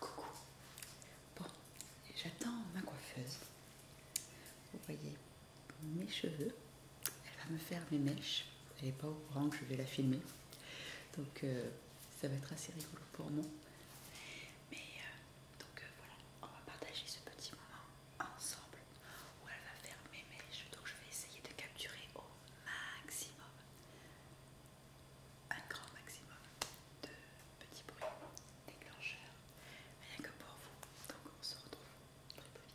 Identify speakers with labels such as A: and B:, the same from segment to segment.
A: Coucou. Bon, j'attends ma coiffeuse. Vous voyez mes cheveux. Elle va me faire mes mèches. Elle n'est pas au courant que je vais la filmer. Donc euh, ça va être assez rigolo pour moi. Mais euh, donc euh, voilà, on va partager ce petit moment ensemble où elle va faire mes mèches. Donc je vais essayer de capturer au
B: maximum, un grand maximum de petits bruits déclencheurs, rien que pour vous. Donc on se retrouve très vite.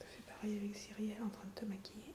B: Ça fait pareil avec Cyrielle en train de te maquiller.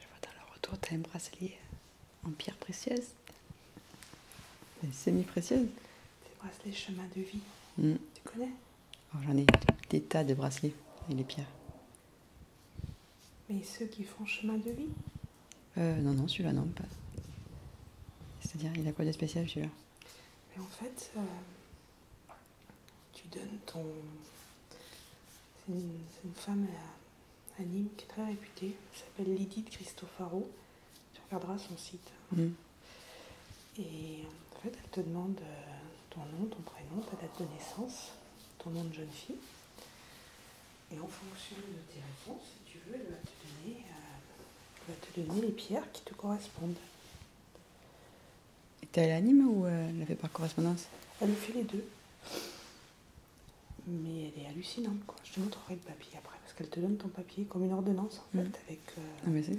A: Je vois dans le retour, tu un bracelet en pierre précieuse, semi-précieuse.
B: Ces bracelets chemin de vie. Mm. Tu connais
A: oh, J'en ai des tas de bracelets et les pierres.
B: Mais ceux qui font chemin de vie
A: euh, Non, non, celui-là, non, pas. C'est-à-dire, il a quoi de spécial celui-là
B: en fait, euh, tu donnes ton. C'est une, femme à, euh, Nîmes qui est très réputée, elle s'appelle Lydie de Cristofaro. Tu regarderas son site. Mm. Et en fait, elle te demande euh, ton nom, ton prénom, ta date de naissance, ton nom de jeune fille. Et en fonction de tes réponses, si tu veux, elle va te donner, euh, va te donner les pierres qui te correspondent.
A: Et t'as l'anime ou euh, elle ne fait par correspondance
B: Elle fait les deux. Mais elle est hallucinante, Je te montrerai le papier après parce qu'elle te donne ton papier comme une ordonnance en mm. fait, avec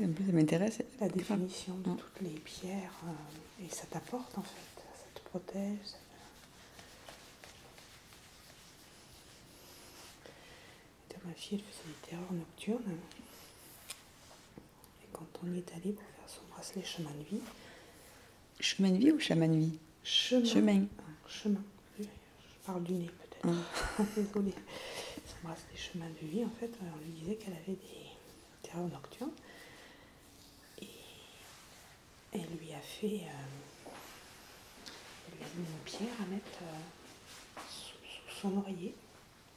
B: euh, plus, m'intéresse. la définition de mm. toutes les pierres, euh, et ça t'apporte en fait, ça te protège. Ça... Ma fille, faisait des terreurs nocturnes, et quand on y est allé pour faire son bracelet chemin de vie.
A: Chemin de vie ou chaman de vie Chemin.
B: Chemin. Ah, je parle du nez peut-être, Désolé. Mm. désolée, ça embrasse des chemins de vie en fait, euh, on lui disait qu'elle avait des terrains nocturnes et elle lui a fait, euh, une pierre à mettre euh, sous, son oreiller,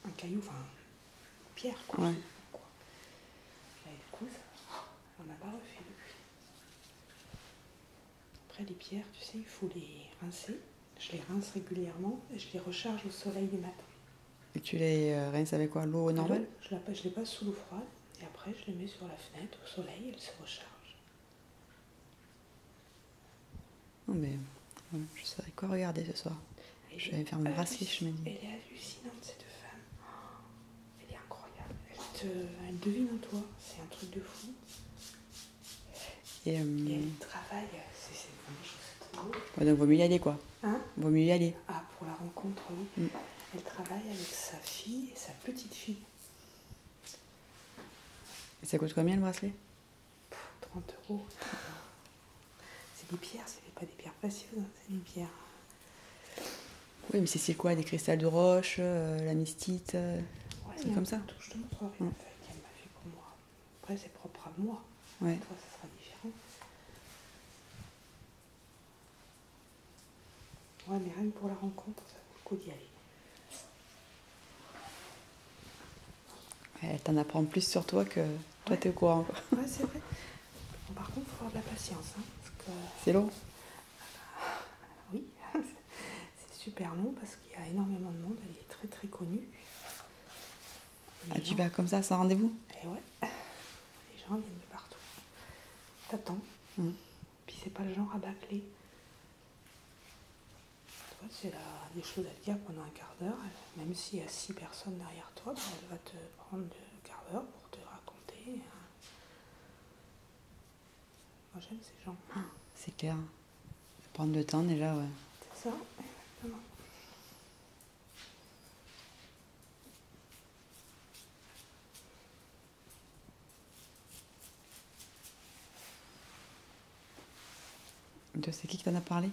B: un caillou, enfin une pierre quoi. elle on oh, n'a pas refait après les pierres, tu sais, il faut les rincer. Je les rince régulièrement et je les recharge au soleil du matin.
A: Et tu les euh, rinces avec quoi L'eau normale
B: Je les passe sous l'eau froide et après je les mets sur la fenêtre au soleil et elles se rechargent.
A: Non mais euh, je savais quoi regarder ce soir. je vais faire mon raciste, je me dis. Elle
B: est hallucinante cette femme. Elle est incroyable. te, elle devine en toi. C'est un truc de fou. Et, elle euh, travaille, c'est vraiment
A: Donc, vaut mieux y aller, quoi. Hein Vaut mieux y aller.
B: Ah, pour la rencontre, oui. Mm. Elle travaille avec sa fille et sa petite fille.
A: Et ça coûte combien le bracelet
B: 30 euros. C'est des pierres, c'est pas des pierres précieuses, hein, c'est des pierres.
A: Oui, mais c'est quoi Des cristals de roche, euh, la mystite euh,
B: C'est comme ça. je mm. te m'a pour moi. Après, c'est propre à moi. Ouais. Toi, ça sera différent. Ouais, mais rien que pour la rencontre, ça vaut le coup d'y aller.
A: Elle t'en apprend plus sur toi que toi, t'es au courant.
B: Ouais, c'est vrai. par contre, il faut avoir de la patience. Hein, c'est long. Oui, c'est super long parce il y a énormément de monde, elle est très très connue.
A: Ah, tu vas comme ça, sans rendez-vous
B: Eh ouais, les gens viennent de partout. T'attends, hmm. puis c'est pas le genre à bâcler. Toi, c'est des choses à dire pendant un quart d'heure, même s'il y a six personnes derrière toi, ben, elle va te prendre le quart d'heure pour te raconter hein. Moi j'aime ces gens. Ah,
A: c'est clair. Prendre le temps déjà, ouais.
B: C'est ça, exactement.
A: De c'est qui qui t'en as parlé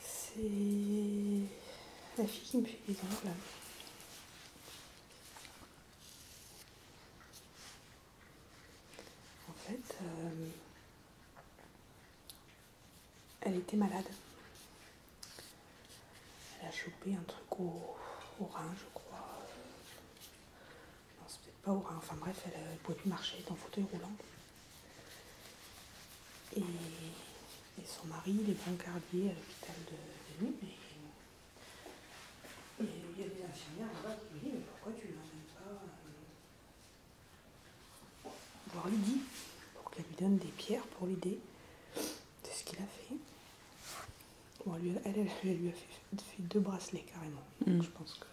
B: C'est la fille qui me fait des ongles. En fait, euh, elle était malade. Elle a chopé un truc au, rein, je crois. Non, c'est peut-être pas au rein. Enfin bref, elle ne pouvait plus marcher, elle en fauteuil roulant. Et, son mari, il est gardien à l'hôpital de, de et il y a des infirmières qui lui pourquoi tu ne l'emmènes pas voir euh, Lydie pour qu'elle lui donne des pierres pour l'idée. C'est ce qu'il a fait. Bon, elle, elle, lui a fait, deux bracelets carrément. Mm. je pense que.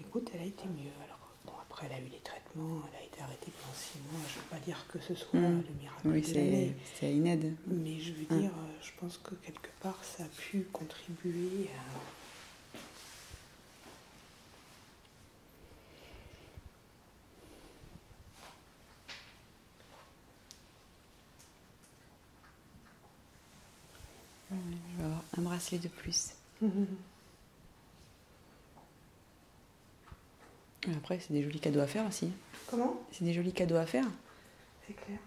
B: Écoute, elle a été mieux. Alors, après, elle a eu les traitements, elle a été arrêtée pendant six mois. Je ne veux pas dire que ce soit mm. le miracle. Oui, c'est une aide. Mais je veux mm. dire, euh, je pense que quelque ça a pu contribuer à...
A: Je vais un bracelet de plus. après, c'est des jolis cadeaux à faire aussi. Comment C'est des jolis cadeaux à faire.
B: C'est clair.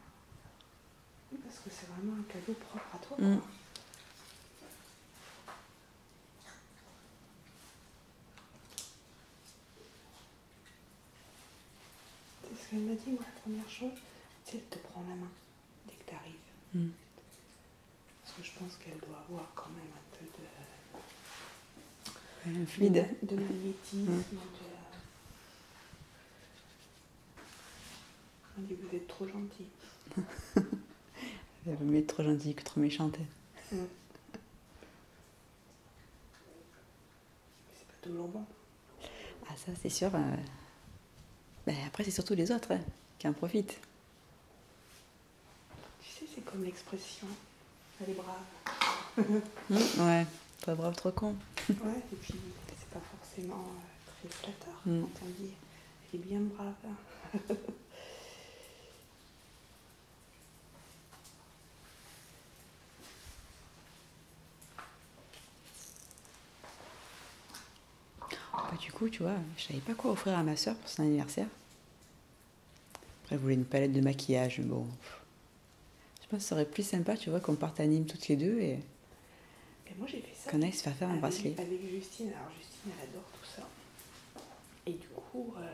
B: Parce que c'est vraiment un cadeau propre à toi. Mm. C'est ce qu'elle m'a dit, moi, la première chose, c'est elle te prend la main dès que tu arrives. Mm. Parce que je pense qu'elle doit avoir quand même un peu de. un fluide. De, magnétisme, de. Ah, vous êtes trop gentil.
A: Elle être trop gentil que trop méchant
B: C'est pas bon.
A: Ah, ça, c'est sûr. Euh, ben, après, c'est surtout les autres hein, qui en profitent.
B: Tu sais, c'est comme l'expression Elle est brave.
A: Hum, ouais pas brave trop con.
B: ouais, et puis c'est pas forcément euh, très flatteur mm. quand on dit elle est bien brave.
A: Oh, bah, du coup, tu vois, je savais pas quoi offrir à ma soeur pour son anniversaire. Après, elle voulait une palette de maquillage, bon. Je pense que ce serait plus sympa, tu vois, qu'on parte à Nîmes toutes les deux et.
B: moi j'ai fait ça. Qu'on aille
A: se faire faire un bracelet.
B: Avec Justine. Alors Justine, elle adore tout ça. Et du coup, euh,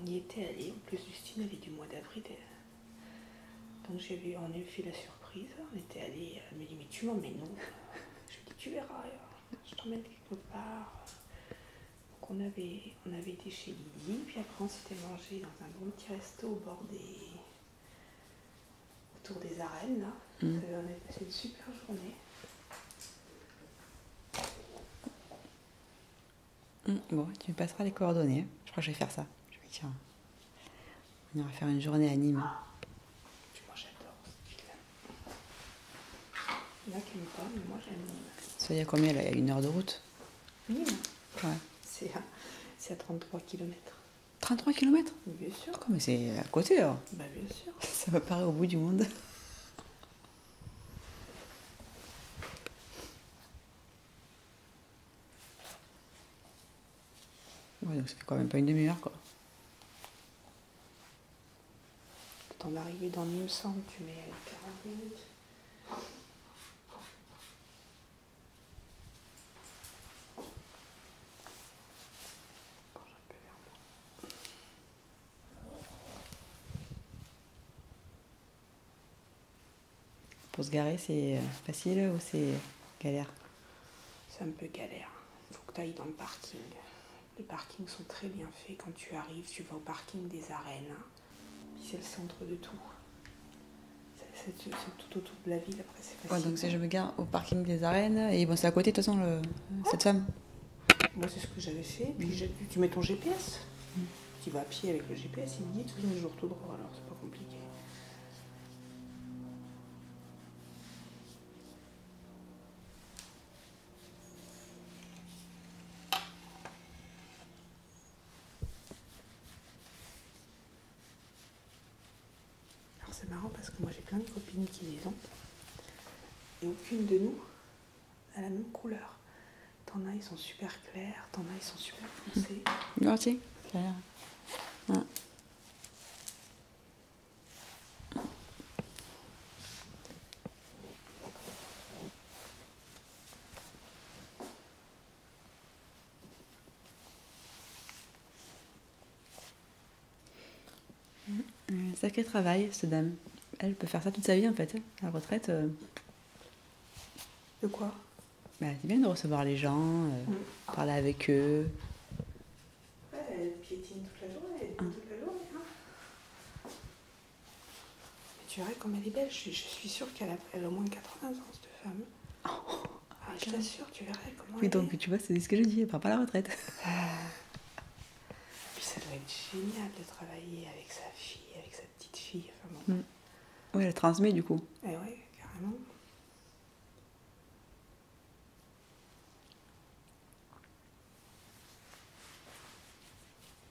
B: on y était allé. En plus, Justine, elle est du mois d'avril. Donc on a fait la surprise. On était allé. Elle euh, me dit, mais tu m'emmènes nous Je lui dis, tu verras. Je t'emmène quelque part. Donc on avait, été chez Lily, Puis après, on s'était mangé dans un bon petit resto au bord des autour des arènes. Là. Mm. Euh, on a passé une super journée.
A: Mm, bon, tu me passeras les coordonnées. Hein. Je crois que je vais faire ça. Je vais dire. On ira faire une journée à Nîmes. Ah. Tu Moi j'adore cette
B: là Il y en a qui n'aiment pas, mais moi j'aime.
A: Ça, il y a combien là Il y a une heure de route
B: oui, c'est à, 33 km. 33 km Bien sûr. Comme
A: c'est à côté bah, Bien sûr. Ça me paraît au bout du monde. Ouais, donc ça fait quand même pas une demi-heure quoi.
B: T'en arriver dans sens, tu mets 40 minutes.
A: Pour se garer, c'est euh, facile ou c'est galère
B: C'est un peu galère. Il faut que tu ailles dans le parking. Les parkings sont très bien faits. Quand tu arrives, tu vas au parking des arènes. Hein c'est le centre de tout. C'est tout autour de la ville, après c'est
A: donc ça je me gare au parking des arènes, et c'est à côté de toute façon, le... cette femme.
B: Moi, c'est ce que j'avais fait. tu mets ton GPS, tu vas à pied avec le GPS, il dit tous les jours tout droit, alors c'est pas compliqué. Alors c'est marrant parce que moi j'ai plein de copines qui les ont et aucune de nous a la même couleur. T'en as, ils sont super clairs, t'en as, ils sont super foncés.
A: Mm, un sacré travail, cette dame. Elle peut faire ça toute sa vie en fait. À la retraite. Euh. De quoi C'est bien bah, de recevoir les gens, euh, mm. parler avec eux.
B: Ouais, elle piétine toute la journée, ah. hein. Mais tu verrais comme elle est belle, je, suis sûre qu'elle a, au moins 80 ans, cette femme. Ah, je t'assure, tu verrais comment oui, donc,
A: tu vois, c'est ce que je dis, elle part pas à la retraite. Et ah.
B: Puis ça doit être génial de travailler avec sa fille, avec sa petite fille.
A: Mm. Oui, elle transmet du coup.
B: Eh oui carrément.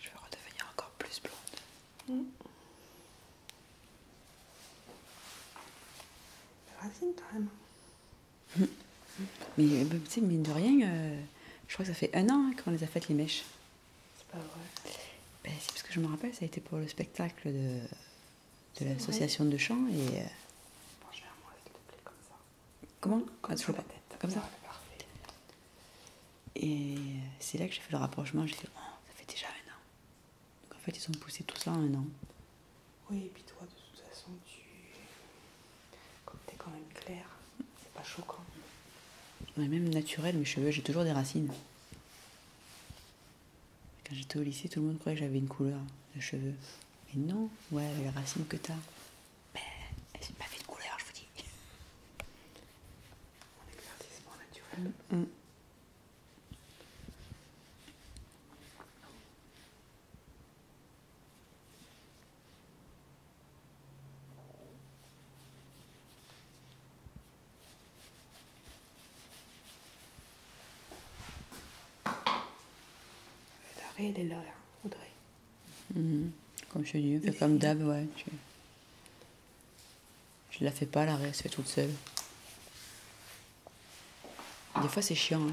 B: Je veux redevenir encore plus blonde. Mm.
A: Mais euh, tu sais, mine de rien, euh, je crois que ça fait un an hein, qu'on les a faites, les mèches.
B: C'est pas vrai.
A: Ben, c'est parce que je me rappelle, ça a été pour le spectacle de, de l'association de chant. Et, euh, s'il comme ça. Comment Comme ah, la tête. Comme ça ah, Parfait. Et c'est là que j'ai fait le rapprochement. J'ai dit, oh, ça fait déjà un an. Donc en fait, ils ont poussé tout ça en un an.
B: Oui, et puis toi, de toute façon, tu comme t'es quand même clair, c'est pas choquant.
A: même naturel, mes cheveux, j'ai toujours des racines. Quand j'étais au lycée, tout le monde croyait que j'avais une couleur de cheveux. Mais non, ouais, les racines que t'as. Ben, elles sont pas fait de couleur, je vous dis.
B: Mon éclaircissement naturel. Mm, mm. L'arrêt, elle est là, Audrey.
A: Mhm. Comme je dis, comme d'hab, ouais. Je... je la fais pas, l'arrêt, elle toute seule. Des fois, c'est chiant. Hein.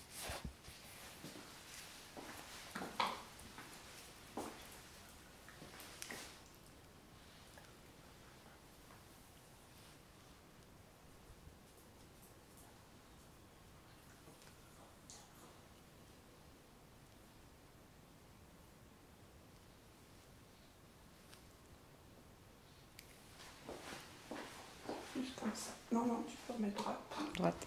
B: Juste comme ça. Non, non, tu peux mettre droite. Droite.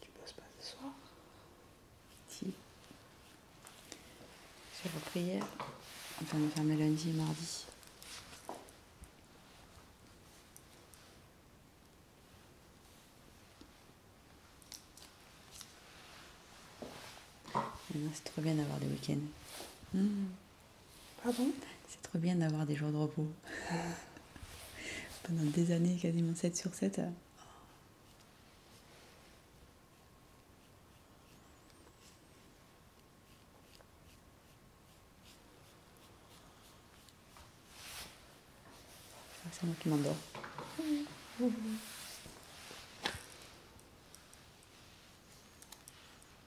B: Tu bosses pas ce soir
A: Sur vos repris on va on faire lundi et mardi. c'est trop bien d'avoir des week-ends.
B: Mmh. Pardon
A: C'est trop bien d'avoir des jours de repos. Pendant des années, quasiment 7 sur 7. Ah, c'est moi qui m'endors.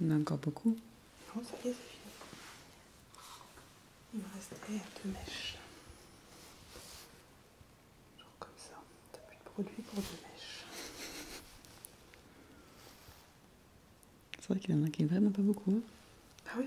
A: Il y a encore beaucoup.
B: Non, ça est, fini. Il me restait deux mèches. Genre comme ça. T'as plus de produits pour deux mèches.
A: C'est vrai qu'il y en a qui vraiment pas
B: beaucoup. ah oui.